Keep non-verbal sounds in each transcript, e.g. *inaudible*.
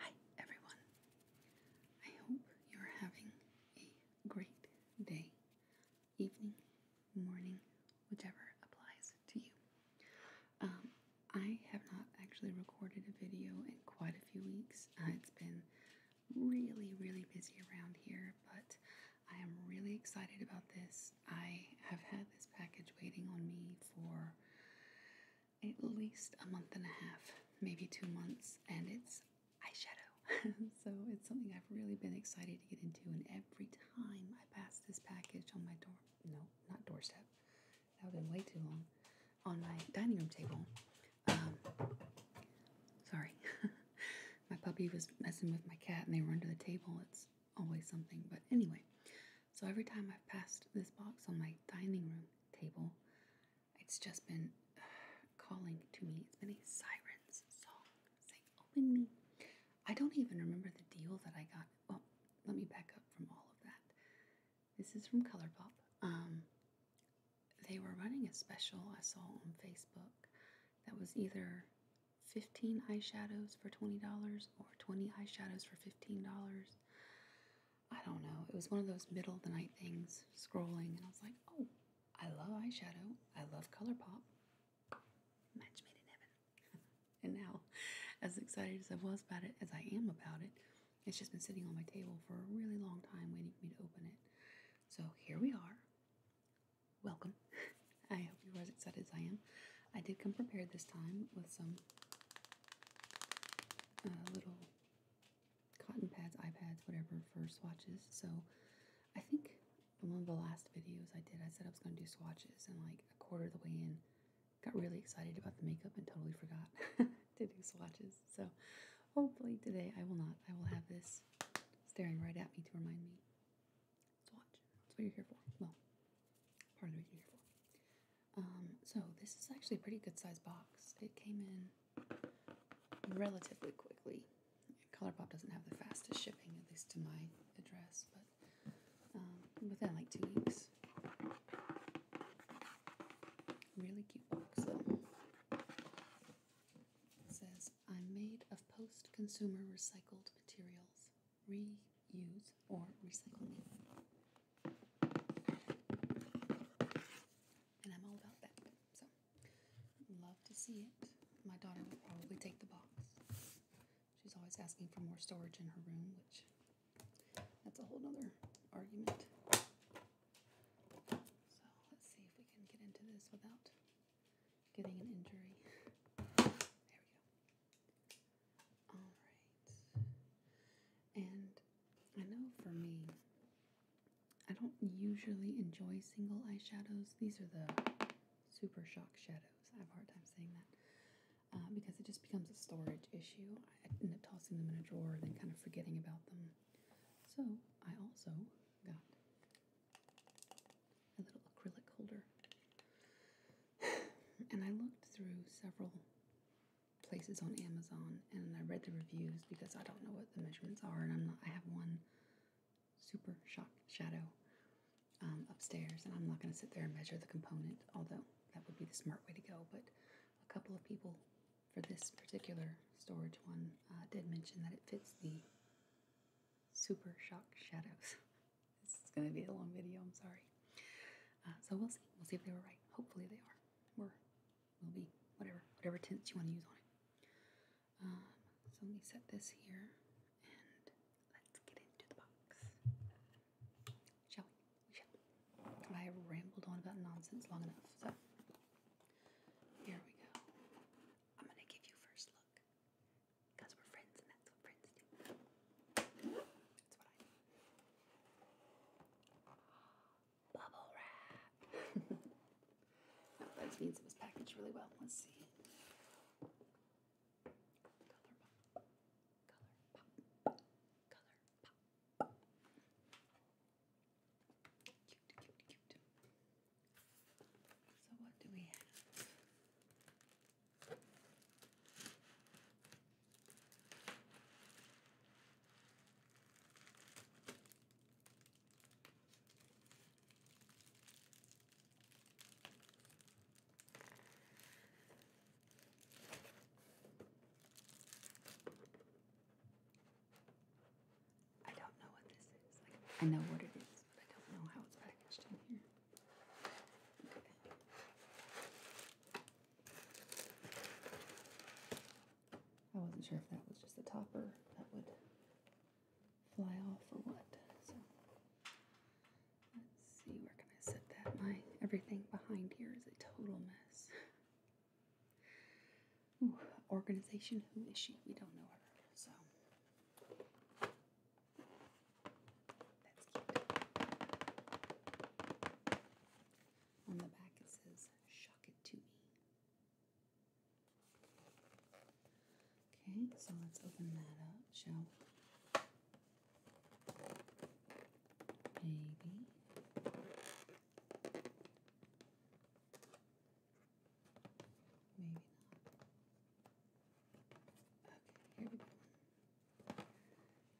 Hi, everyone. I hope you're having a great day, evening, morning, whichever applies to you. Um, I have not actually recorded a video in quite a few weeks. Uh, it's been really, really busy around here, but I am really excited about this. I have had this package waiting on me for at least a month and a half, maybe two months, and it's eyeshadow. *laughs* so it's something I've really been excited to get into, and every time I pass this package on my door, no, not doorstep, that would have been way too long, on my dining room table, um, sorry, *laughs* my puppy was messing with my cat and they were under the table. It's always something, but anyway, so every time I've passed this box on my dining room table, it's just been *sighs* calling to me. It's been a siren's song saying, Open me. I don't even remember the deal that I got. Well, let me back up from all of that. This is from Colourpop. Um, they were running a special I saw on Facebook that was either 15 eyeshadows for $20 or 20 eyeshadows for $15. I don't know. It was one of those middle of the night things, scrolling, and I was like, oh, I love eyeshadow. I love ColourPop. Match made in heaven. *laughs* and now, as excited as I was about it, as I am about it, it's just been sitting on my table for a really long time waiting for me to open it. So here we are. Welcome. *laughs* I hope you are as excited as I am. I did come prepared this time with some uh, little cotton pads, iPads, whatever for swatches. So I think in one of the last videos I did, I said I was going to do swatches, and like a quarter of the way in, got really excited about the makeup and totally forgot *laughs* to do swatches. So hopefully today I will not. I will have this staring right at me to remind me. Swatch. That's what you're here for. Well, part of the reason you're here for. Um, so this is actually a pretty good size box. It came in relatively quickly. ColourPop doesn't have the fastest shipping, at least to my address, but um, within like two weeks. Really cute box says, I'm made of post-consumer recycled materials. Reuse or recycle me. And I'm all about that. So, love to see it. My daughter will probably take the box. She's always asking for more storage in her room, which that's a whole other argument. So, let's see if we can get into this without getting an injury. There we go. All right. And I know for me, I don't usually enjoy single eyeshadows. These are the super shock shadows. I have a hard time saying that uh, because it just becomes a storage issue. I end up tossing them in a drawer and then kind of forgetting about them. So I also got a little acrylic holder. *sighs* and I looked through several places on Amazon, and I read the reviews because I don't know what the measurements are, and I'm not. I have one super shock shadow um, upstairs, and I'm not going to sit there and measure the component, although that would be the smart way to go. But a couple of people for this particular storage one uh, did mention that it fits the super shock shadows. *laughs* this is going to be a long video. I'm sorry. Uh, so we'll see. We'll see if they were right. Hopefully they are. We're will be whatever, whatever tints you want to use on it. Um, so let me set this here and let's get into the box. Shall we? We shall. I rambled on about nonsense long enough, so here we go. I'm gonna give you first look because we're friends and that's what friends do. That's what I do. Bubble wrap. *laughs* that means it was packaged really well. Let's see. Color pop. Color pop. Color pop. Cute, cute, cute. So what do we have? I don't know what this is. I know what it is, but I don't know how it's packaged in here. I wasn't sure if that was just the topper that would fly off or what. So let's see, where can I set that? My everything behind here is a total mess. organization, who is she? We don't know her, so. That's cute. On the back it says, Shock It To Me. Okay, so let's open that up, shall we? Maybe. Maybe not. Okay, here we go.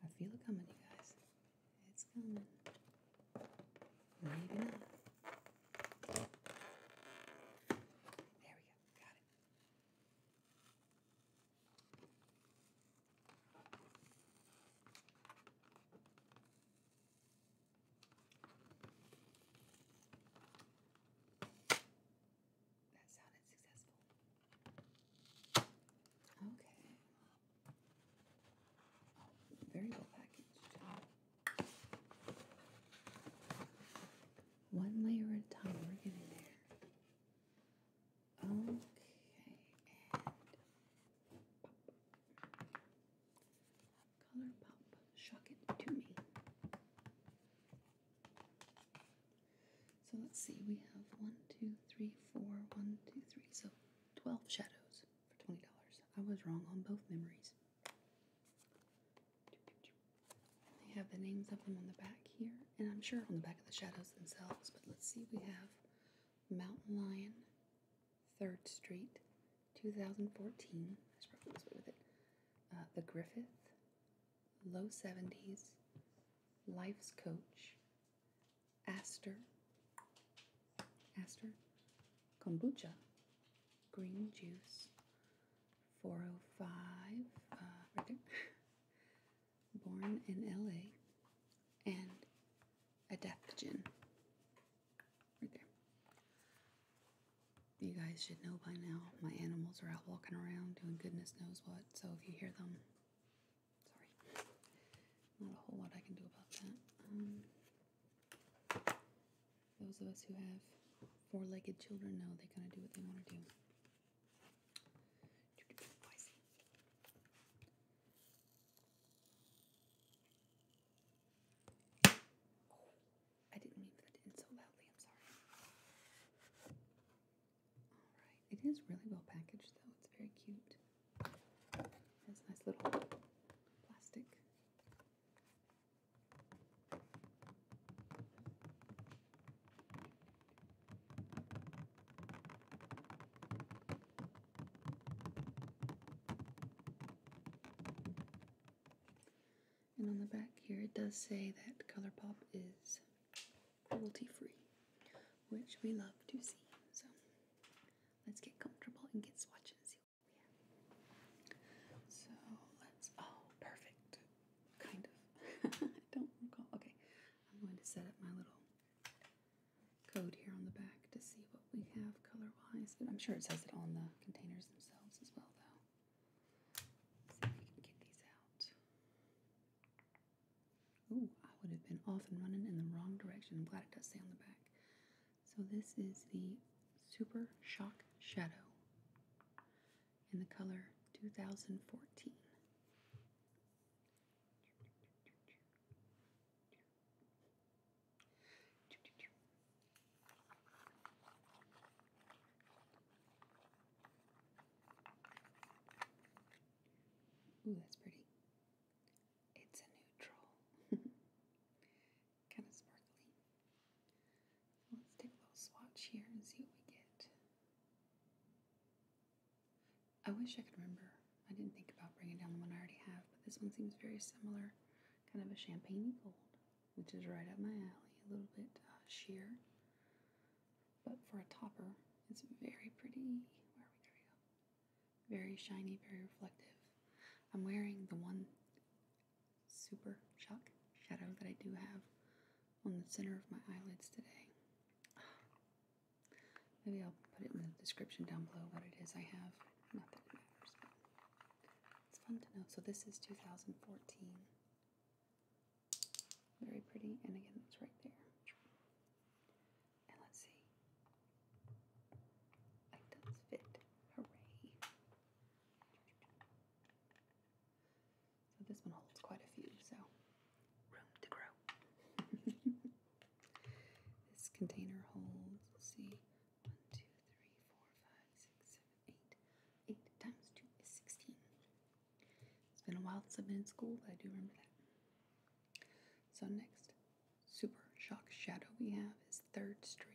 I feel it coming, you guys. It's coming. Maybe not. There we go. Got it. That sounded successful. Okay, very well packaged. One layer at a time. We're getting there. Okay, and Color pop. Shock it to me. So let's see, we have one, two, three, four, one, two, three, so 12 shadows for $20. I was wrong on both memories. They have the names of them on the back here, and I'm sure on the back of the shadows themselves, but let's see. We have Mountain Lion, 3rd Street, 2014. Uh, the Griffith, Low 70s, Life's Coach, aster, aster, kombucha, green juice, 405, uh, *laughs* born in LA, and adaptogen, right there. You guys should know by now my animals are out walking around doing goodness knows what, so if you hear them, sorry not a whole lot I can do about that. Um, those of us who have four legged children know they kind of do what they want to do. I didn't mean that in so loudly, I'm sorry. Alright, it is really well packaged though, it's very cute. There's a nice little plastic. And on the back here, it does say that ColourPop is cruelty free, which we love to see. So Let's get comfortable and get swatches. So let's, oh, perfect. Kind of. *laughs* don't recall. Okay, I'm going to set up my little code here on the back to see what we have color wise. But I'm sure it says it on the containers themselves as well, though. see if we can get these out. Ooh, I would have been off and running in the wrong direction. I'm glad it does say on the back. So this is the Super Shock Shadow in the color 2014. Ooh, that's pretty. It's a neutral. *laughs* kind of sparkly. let's take a little swatch here and see what we get. I wish I could remember. I didn't think about bringing down the one I already have, but this one seems very similar. Kind of a champagne gold, which is right up my alley. A little bit uh, sheer, but for a topper, it's very pretty. Where are we? There we go. Very shiny, very reflective. I'm wearing the one super shock shadow that I do have on the center of my eyelids today. Maybe I'll put it in the description down below what it is I have. Not it's fun to know. So this is 2014. Very pretty, and again, it's right there let's see. Items fit. Hooray. So this one holds quite a few, so room to grow. *laughs* this container holds, see, 1, 8 times 2 is 16. It's been a while since I've been in school, but I do remember that. So next, super shock shadow we have is Third Street.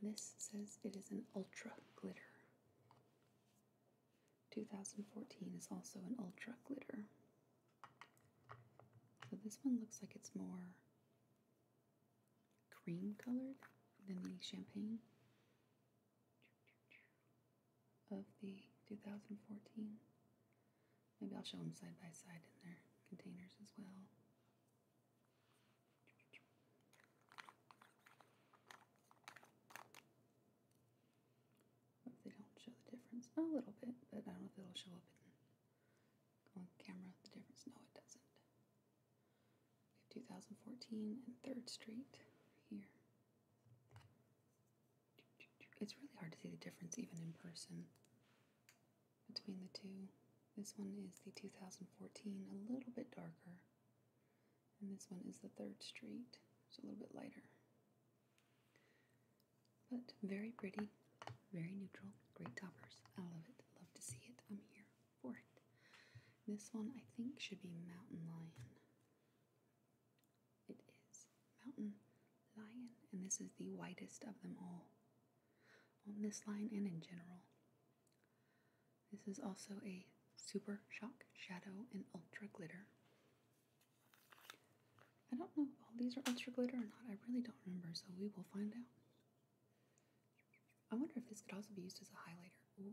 And this says it is an ultra glitter. 2014 is also an ultra glitter. So this one looks like it's more cream colored than the champagne of the 2014. Maybe I'll show them side by side in their containers as well. Hope they don't show the difference. A little bit, but I don't know if it'll show up on camera the difference. No, it doesn't. We have 2014 and 3rd Street here. It's really hard to see the difference even in person between the two. This one is the 2014, a little bit darker. And this one is the Third Street, it's a little bit lighter. But very pretty, very neutral, great toppers. I love it, love to see it. I'm here for it. This one I think should be Mountain Lion. It is Mountain Lion, and this is the whitest of them all on this line and in general. This is also a Super Shock Shadow and Ultra Glitter. I don't know if all these are Ultra Glitter or not. I really don't remember, so we will find out. I wonder if this could also be used as a highlighter.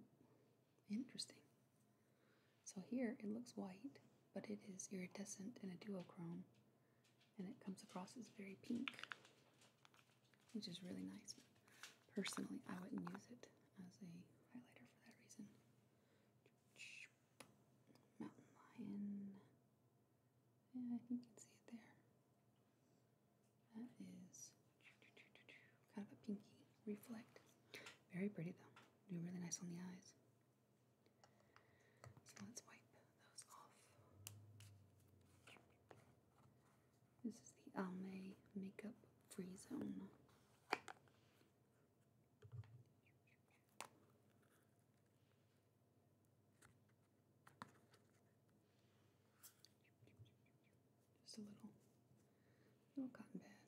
interesting. So here it looks white, but it is iridescent in a duochrome and it comes across as very pink, which is really nice. personally, I wouldn't use it as a highlighter for that reason. Mountain lion. Yeah, you can see it there. That is kind of a pinky reflect. Very pretty though. Do really nice on the eyes. So let's wipe those off. This is the Almay Makeup Free Zone. Just a little, little cotton pad.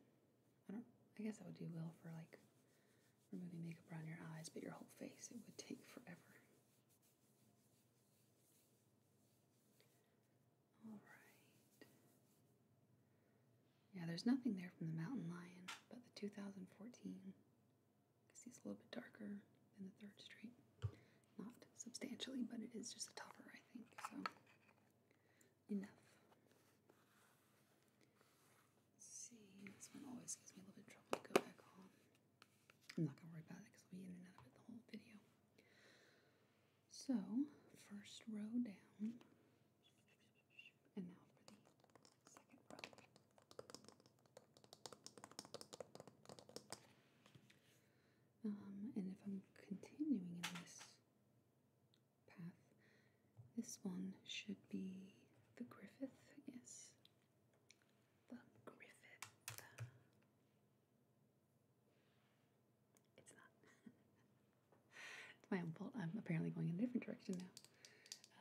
I don't. I guess that would do well for like removing makeup around your eyes, but your whole face it would take forever. All right. Yeah, there's nothing there from the mountain lion, but the 2014, because he's a little bit darker than the third street. Not substantially, but it is just a topper, I think. So, enough. see, this one always gives me a little bit trouble go back on. I'm not going to worry about it because I'll be in and out of the whole video. So, first row down. And now for the second row. Um, and if I'm continuing in this path, this one should be the Griffith, I guess. The Griffith. Uh, it's not. *laughs* it's my own fault. I'm apparently going in a different direction now.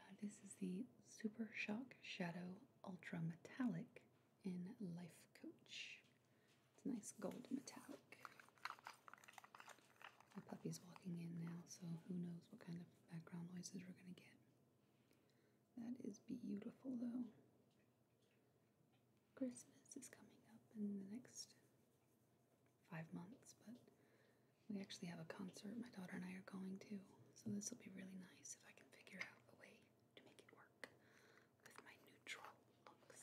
Uh, this is the Super Shock Shadow Ultra Metallic in Life Coach. It's a nice gold metallic. My puppy's walking in now, so who knows what kind of background noises we're going to get. That is beautiful, though. Christmas is coming up in the next five months, but we actually have a concert my daughter and I are going to, so this will be really nice if I can figure out a way to make it work with my neutral looks.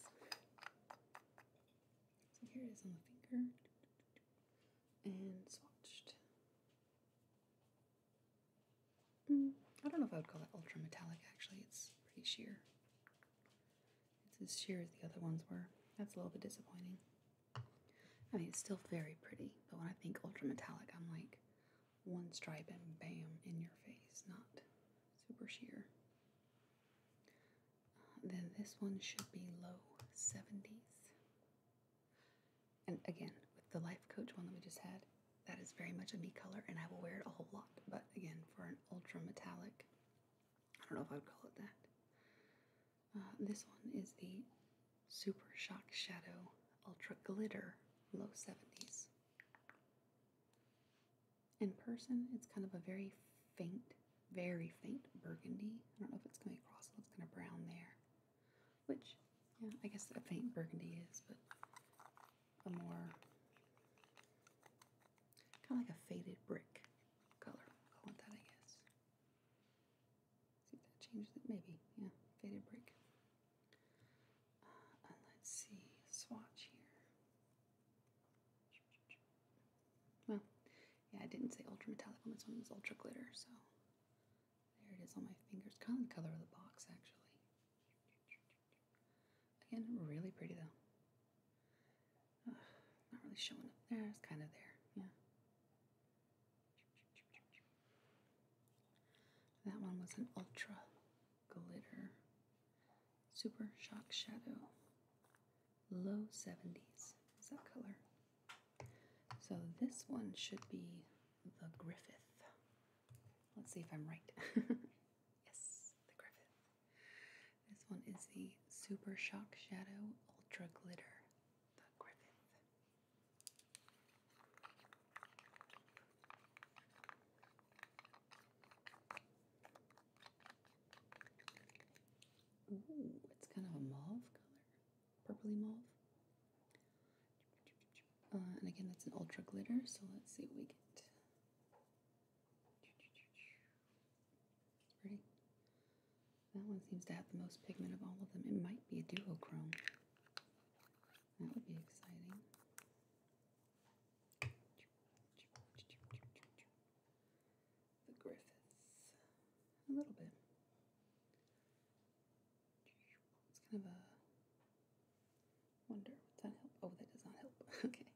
So here it is on the finger and swatched. Mm. I don't know if I would call that ultra metallic, actually. It's pretty sheer. It's as sheer as the other ones were. That's a little bit disappointing. I mean, it's still very pretty, but when I think ultra metallic, I'm like one stripe and bam, in your face, not super sheer. Uh, then this one should be low 70s and again with the life coach one that we just had that is very much a me color and i will wear it a whole lot but again for an ultra metallic i don't know if i would call it that uh, this one is the super shock shadow ultra glitter low 70s in person it's kind of a very faint very faint burgundy i don't know if it's coming across it looks kind of brown there which yeah, I guess a faint burgundy is, but a more kind of like a faded brick color. I want that, I guess. See if that changes it. Maybe, yeah, faded brick. Uh, let's see, swatch here. Well, yeah, I didn't say ultra metallic on this one. It was ultra glitter, so there it is on my fingers. Kind of the color of the box, actually. Again, really pretty though. not really showing up there. It's kind of there. Yeah. That one was an ultra glitter super shock shadow. Low 70s is that color. So this one should be the Griffith. Let's see if I'm right. *laughs* yes, the Griffith. This one is the Super Shock Shadow Ultra Glitter, the Griffith. Ooh, it's kind of a mauve color, purpley mauve. Uh, and again, that's an ultra glitter, so let's see what we get. pretty. That one seems to have the most pigment of all of them. It might be a duochrome. That would be exciting. The Griffiths. A little bit. It's kind of a wonder. Would that help? Oh, that does not help. *laughs* okay.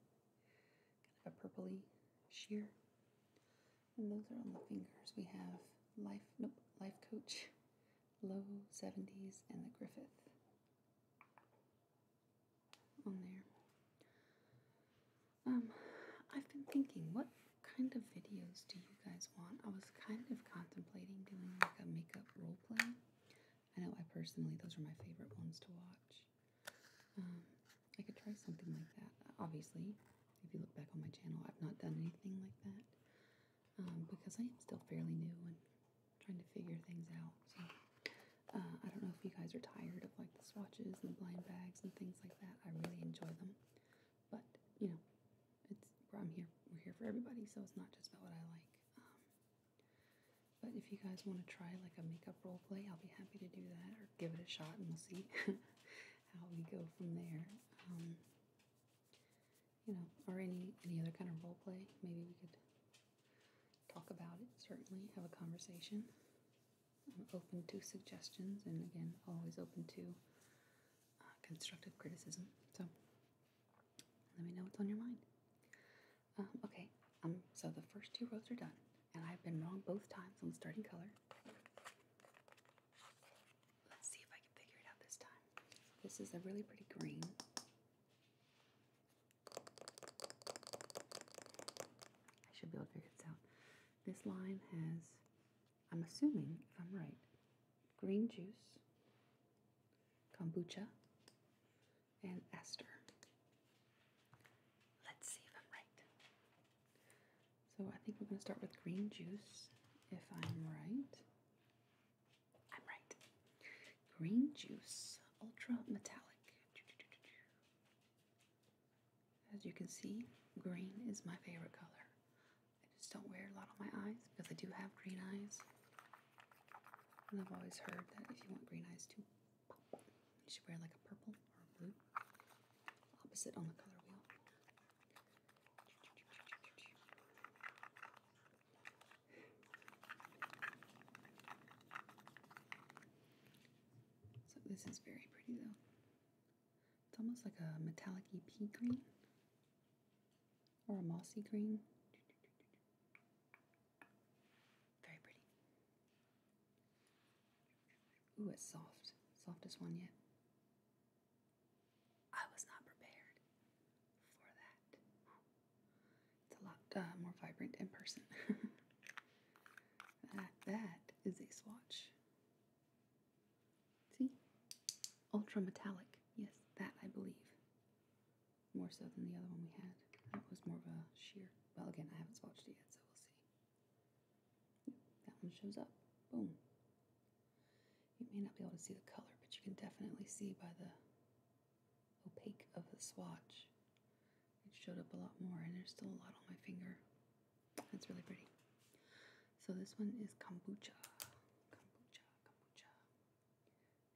Kind of a purpley sheer. And those are on the fingers. We have Life, nope, Life Coach, Low 70s, and the Griffith on there. Um, I've been thinking, what kind of videos do you guys want? I was kind of contemplating doing like a makeup role play, I know I personally, those are my favorite ones to watch. Um, I could try something like that. Obviously, if you look back on my channel, I've not done anything like that um, because I am still fairly new and trying to figure things out. So uh, I don't know if you guys are tired of like the swatches and the blind bags and things like that. I really enjoy them, but you know, it's I'm here. We're here for everybody, so it's not just about what I like. Um, but if you guys want to try like a makeup role play, I'll be happy to do that or give it a shot and we'll see *laughs* how we go from there. Um, you know, or any any other kind of role play, maybe we could talk about it. Certainly, have a conversation. I'm open to suggestions, and again, always open to uh, constructive criticism. So, let me know what's on your mind. Um, okay, um, so the first two rows are done, and I've been wrong both times on the starting color. Let's see if I can figure it out this time. This is a really pretty green. I should be able to figure this out. This line has, I'm assuming, if I'm right, green juice, kombucha, and ester. Let's see if I'm right. So I think we're going to start with green juice, if I'm right. I'm right. Green juice, ultra metallic. As you can see, green is my favorite color. I just don't wear a lot of my eyes because I do have green eyes. And I've always heard that if you want green eyes too, you should wear like a purple or a blue. Opposite on the color wheel. So this is very pretty though. It's almost like a metallic pea green or a mossy green. Very pretty. Ooh, it's soft. Softest one yet. I was not prepared for that. It's a lot uh, more vibrant in person. *laughs* that, that is a swatch. See? Ultra metallic. Yes, that I believe more so than the other one we had. That was more of a sheer. Well, again, I haven't swatched it yet, so we'll see. that one shows up. Boom. You may not be able to see the color, but you can definitely see by the opaque of the swatch. It showed up a lot more, and there's still a lot on my finger. That's really pretty. So this one is kombucha. Kombucha, kombucha.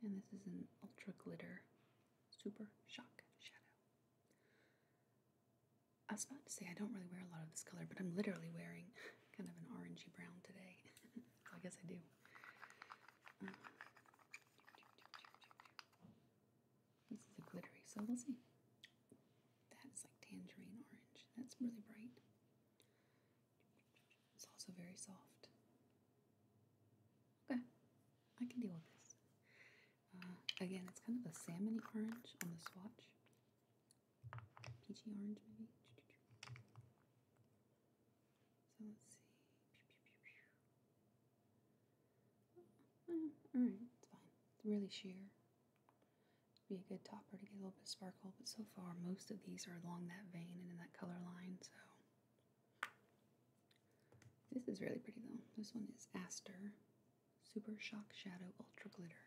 And this is an Ultra Glitter Super Shock Shadow. I was about to say I don't really wear a lot of this color, but I'm literally wearing *laughs* kind of an orangey brown today. so *laughs* I guess I do. Uh, this is a glittery, so we'll see. That's like tangerine orange. That's really bright. It's also very soft. Okay, I can deal with this. Uh, again, it's kind of a salmony orange on the swatch. Peachy orange, maybe. So let's see. Mm, Alright, it's fine. It's really sheer. be a good topper to get a little bit sparkle, but so far most of these are along that vein and in that color line, so this is really pretty though. This one is Aster Super Shock Shadow Ultra Glitter.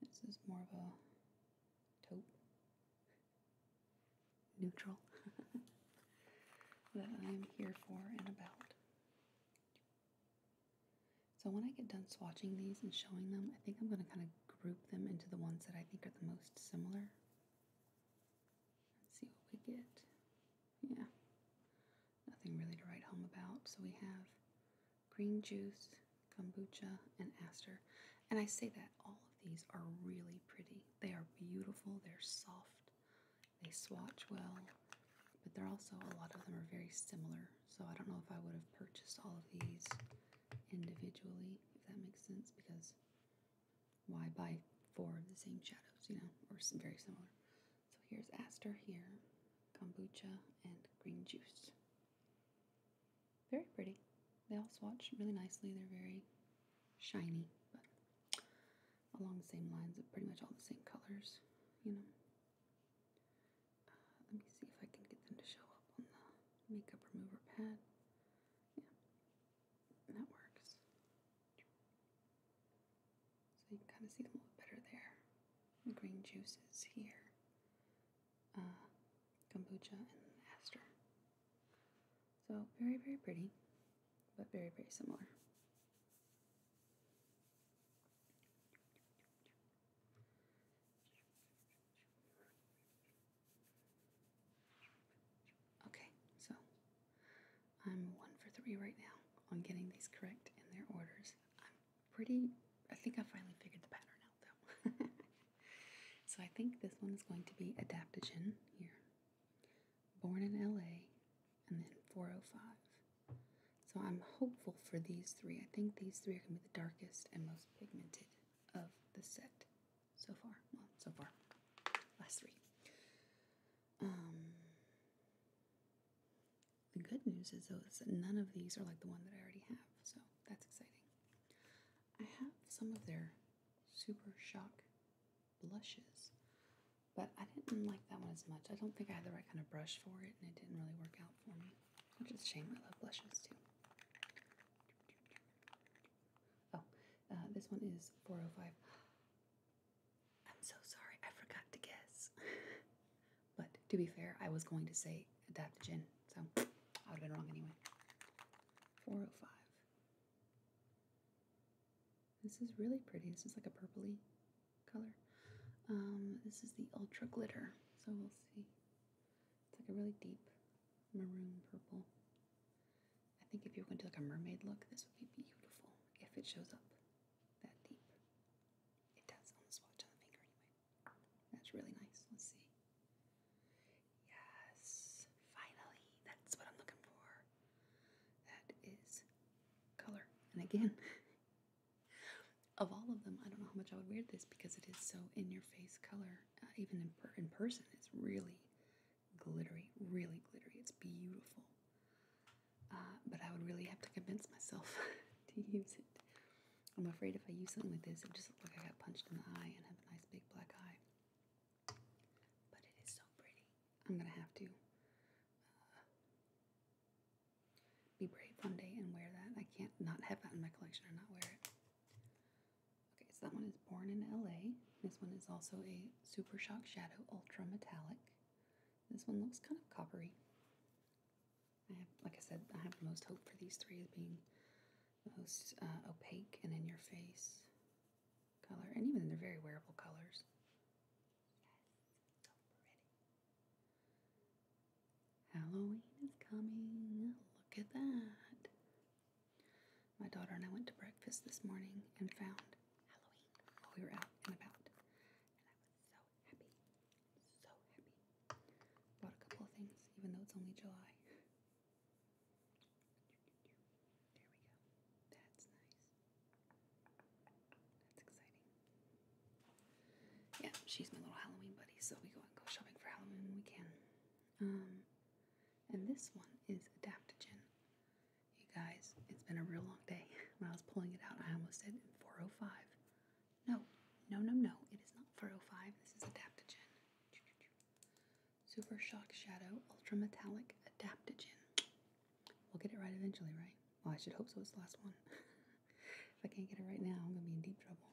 This is more of a taupe, *laughs* neutral, *laughs* that I'm here for and about. So when I get done swatching these and showing them, I think I'm going to kind of group them into the ones that I think are the most similar. Let's see what we get. Yeah, nothing really to write home about. So we have green juice, kombucha, and aster. And I say that all of these are really pretty. They are beautiful, they're soft, they swatch well, but they're also, a lot of them are very similar. So I don't know if I would have purchased all of these individually, if that makes sense, because why buy four of the same shadows, you know, or very similar? So here's Aster here, kombucha, and green juice. Very pretty. They all swatch really nicely. They're very shiny, but along the same lines of pretty much all the same colors, you know. Uh, let me see if I can get them to show up on the makeup remover pad. Yeah, that works. So you can kind of see them a little better there. The green juices here. Uh, and aster. So very, very pretty, but very, very similar. Okay, so I'm one for three right now on getting these correct in their orders. I'm pretty, I think I finally figured the pattern out though. *laughs* so I think this one is going to be adaptogen here. Born in LA and then 405. So I'm hopeful for these three. I think these three are going to be the darkest and most pigmented of the set so far. Well, so far. Last three. Um, the good news is, though, is that none of these are like the one that I already have, so that's exciting. I have some of their Super Shock blushes, but I didn't like that one as much. I don't think I had the right kind of brush for it, and it didn't really work out for me, which is a shame. I love blushes too. Oh, uh, this one is 405. *gasps* I'm so sorry, I forgot to guess. *laughs* but to be fair, I was going to say adaptogen, so *sniffs* I would have been wrong anyway. 405. This is really pretty. This is like a purpley color. Um, this is the Ultra Glitter, so we'll see. It's like a really deep maroon purple. I think if you are going to do like a mermaid look, this would be beautiful if it shows up that deep. It does on the swatch on the finger anyway. That's really nice. Let's see. Yes, finally, that's what I'm looking for. That is color. And again, *laughs* of all of them, I don't know how much I would wear this because it is so in your face color. Uh, even in, in person, it's really glittery, really glittery. It's beautiful. Uh, but I would really have to convince myself *laughs* to use it. I'm afraid if I use something like this, it just looks like I got punched in the eye and have a nice big black eye. But it is so pretty. I'm gonna have to uh, be brave one day and wear that. I can't not have that in my collection or not wear it. Okay, so that one is Born in LA. This one is also a Super Shock Shadow Ultra Metallic. This one looks kind of coppery. like I said, I have the most hope for these three being most uh, opaque and in your face color. And even they're very wearable colors. Yes, so pretty. Halloween is coming. Look at that. My daughter and I went to breakfast this morning and found Halloween while we were out and about. And I was so happy. So happy. Bought a couple of things, even though it's only July. There we go. That's nice. That's exciting. Yeah, she's my little Halloween buddy, so we go and go shopping for Halloween when we can. Um, and this one is adaptogen. You guys, it's been a real long day. When I was pulling it out, I almost said 405. No, no, no, no. It is not 405. This is adaptogen. Super Shock Shadow Ultra Metallic Adaptogen. We'll get it right eventually, right? Well, I should hope so. It's the last one. *laughs* if I can't get it right now, I'm going to be in deep trouble.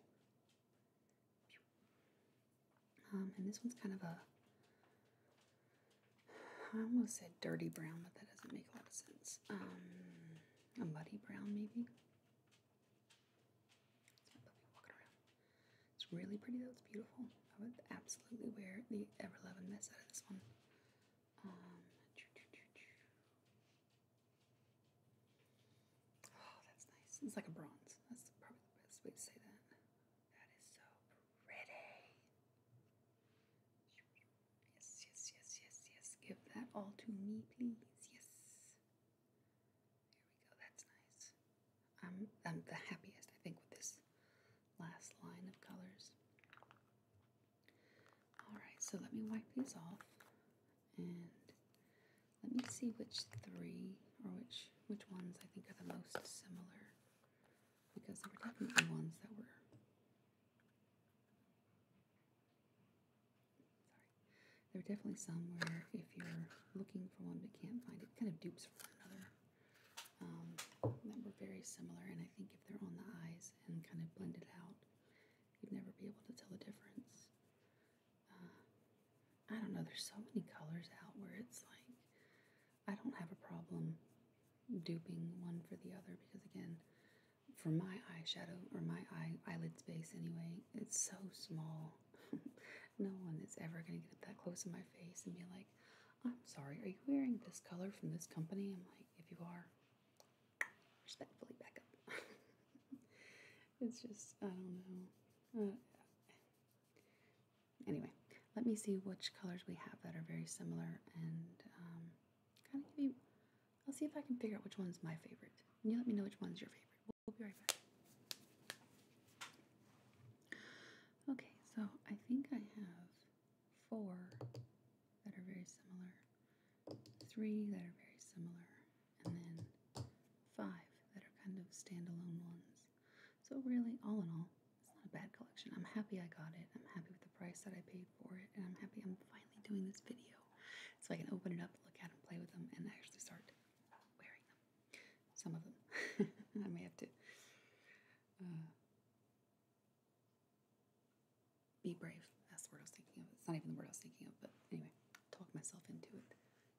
Um, and this one's kind of a, I almost said dirty brown, but that doesn't make a lot of sense. Um, a muddy brown, maybe. It's really pretty though. It's beautiful. I would absolutely wear the ever loving mess out of this one. Um, oh, that's nice. It's like a bronze. That's probably the best way to say that. That is so pretty. Yes, yes, yes, yes, yes. Give that all to me, please. Yes. There we go. That's nice. I'm, I'm the happiest, I think, with this last line of colors. Alright, so let me wipe these off and let me see which three or which which ones I think are the most similar because there were definitely ones that were sorry there were definitely some where if you're looking for one but can't find it kind of dupes for another um, that were very similar and I think if they're on the eyes and kind of blended out you'd never be able to tell the difference uh, I don't know there's so many colors out where it's like I don't have a problem duping one for the other because, again, for my eyeshadow or my eye eyelid space anyway, it's so small. *laughs* no one is ever going to get that close to my face and be like, I'm sorry, are you wearing this color from this company? I'm like, if you are, respectfully back up. *laughs* it's just, I don't know. Uh, anyway, let me see which colors we have that are very similar and um, kind of give you. I'll see if I can figure out which one's my favorite. And you let me know which one's your favorite. We'll be right back. Okay, so I think I have four that are very similar, three that are very similar, and then five that are kind of standalone ones. So, really, all in all, it's not a bad collection. I'm happy I got it. I'm happy with the price that I paid for it. And I'm happy I'm finally doing this video so I can open it up, look at them, play with them, and actually start wearing them. Some of them. *laughs* I may have to uh, be brave. That's the word I was thinking of. It's not even the word I was thinking of, but anyway, talk myself into it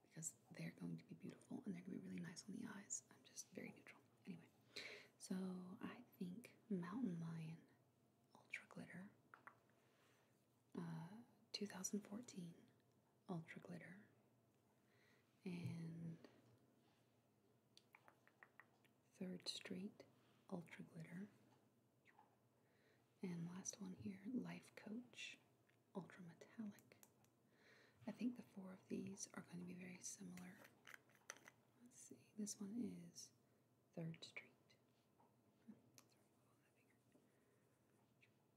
because they're going to be beautiful and they're going to be really nice on the eyes. I'm just very neutral. Anyway. So I think Mountain Lion Ultra Glitter, uh, 2014 Ultra Glitter, and Third Street Ultra Glitter, and last one here Life Coach Ultra Metallic. I think the four of these are going to be very similar. Let's see, this one is Third Street.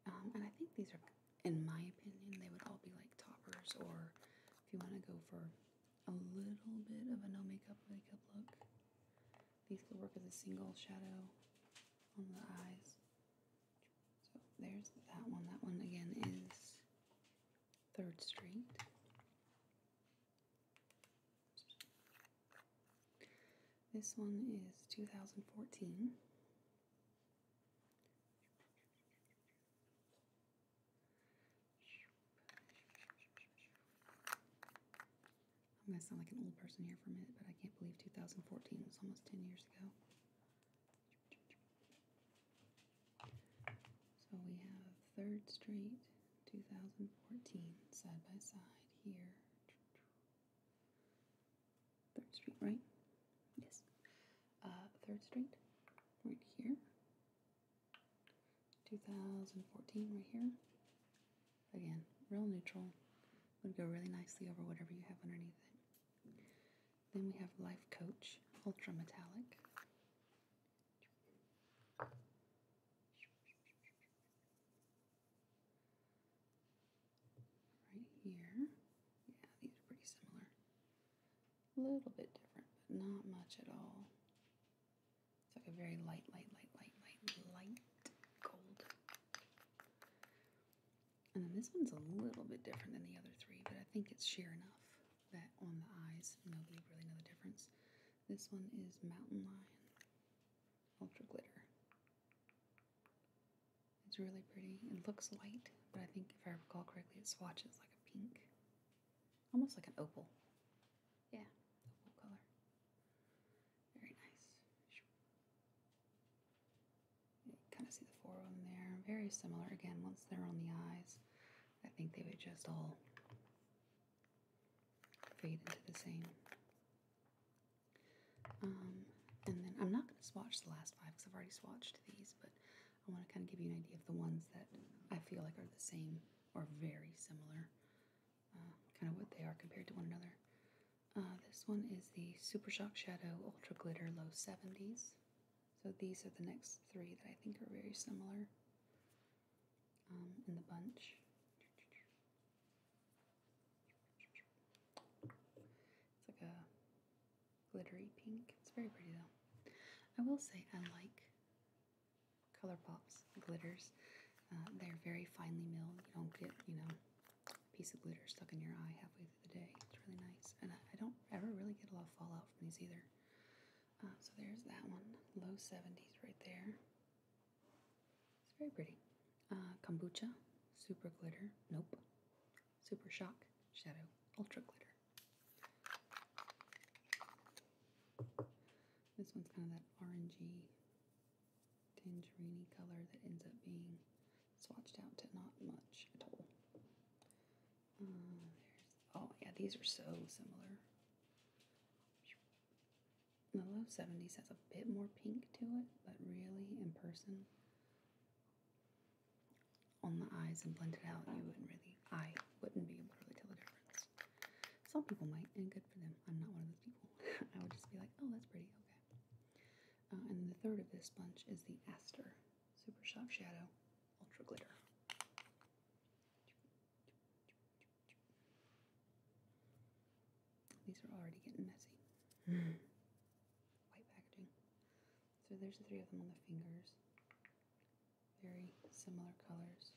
Um, and I think these are, in my opinion, they would all be like toppers, or if you want to go for a little bit of a no makeup makeup look, these could work as a single shadow on the eyes. So there's that one. That one again is Third Street. This one is 2014. I'm going to sound like an old person here for a minute, but I can't believe 2014 was almost 10 years ago. So we have Third Street 2014 side by side here. Third Street, right? Yes. Uh, Third Street, right here. 2014, right here. Again, real neutral. Would go really nicely over whatever you have underneath it. Then we have Life Coach Ultra Metallic. Right here. Yeah, these are pretty similar. A little bit different, but not much at all. It's like a very light, light, light, light, light, light gold. And then this one's a little bit different than the other three, but I think it's sheer enough that on the eyes. Nobody really know the difference. This one is Mountain Lion Ultra Glitter. It's really pretty. It looks white, but I think if I recall correctly, it swatches like a pink, almost like an opal. Yeah, opal color. Very nice. kind of see the four of there. Very similar. Again, once they're on the eyes, I think they would just all fade into the same. Um, and then I'm not going to swatch the last five because I've already swatched these, but I want to kind of give you an idea of the ones that I feel like are the same or very similar, uh, kind of what they are compared to one another. Uh, this one is the Super Shock Shadow Ultra Glitter Low 70s. So these are the next three that I think are very similar um, in the bunch. It's like a glittery pink. It's very pretty though. I will say I like Color Pops glitters. Uh, they're very finely milled. You don't get, you know, a piece of glitter stuck in your eye halfway through the day. It's really nice. And I, I don't ever really get a lot of fallout from these either. Uh, so there's that one, low 70s right there. It's very pretty. Uh, kombucha, super glitter, nope. Super shock, shadow, ultra glitter. This one's kind of that orangey, tangerine color that ends up being swatched out to not much at all. Mm. oh, yeah, these are so similar. The low 70s has a bit more pink to it, but really, in person, on the eyes and blended out, you wouldn't really, I wouldn't be able to really tell the difference. Some people might, and good for them. I'm not one of those people. *laughs* I would just be like, oh, that's pretty, okay. Uh, and the third of this bunch is the Aster Super Soft Shadow Ultra Glitter. These are already getting messy. White packaging. So there's three of them on the fingers. Very similar colors.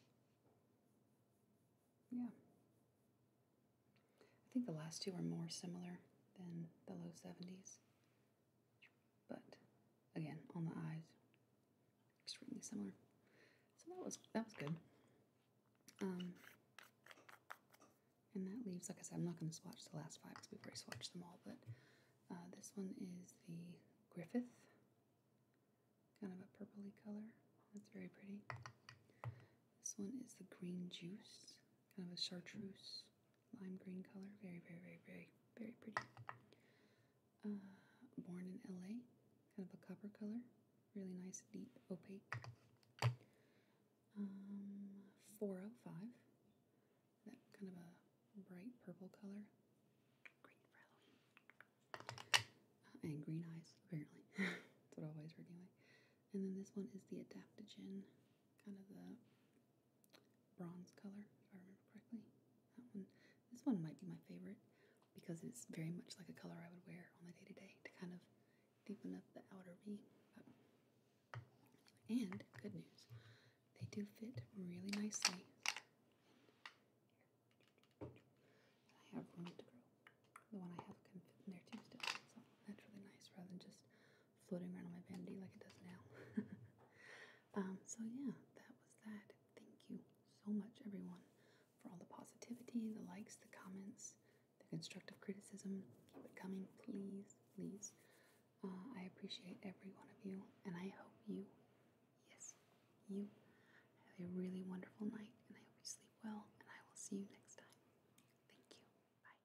Yeah. I think the last two are more similar than the low 70s. But again, on the eyes, extremely similar. So that was that was good. Um, and that leaves, like I said, I'm not going to swatch the last five because we've already swatched them all. But uh, this one is the Griffith, kind of a purpley color. That's very pretty. This one is the Green Juice, kind of a chartreuse lime green color. Very, very, very, very, very pretty. Uh, born in LA, kind of a copper color, really nice, deep, opaque. Um, 405, that kind of a bright purple color. Great uh, and green eyes, apparently. *laughs* That's what I always heard anyway. And then this one is the adaptogen, kind of the bronze color, if I remember correctly. That one, this one might be my favorite because it's very much like a color I would wear on the day to day to kind of deepen up the outer V. And good news, they do fit really nicely. I have room to grow. The one I have can fit in there too still. So that's really nice rather than just floating around on my vanity like it does now. *laughs* um, so yeah, that was that. Thank you so much, everyone, for all the positivity, the likes, the comments, the constructive criticism. Keep it coming, please, please. Uh, I appreciate every one of you, and I hope you, yes, you, have a really wonderful night, and I hope you sleep well, and I will see you next time. Thank you. Bye.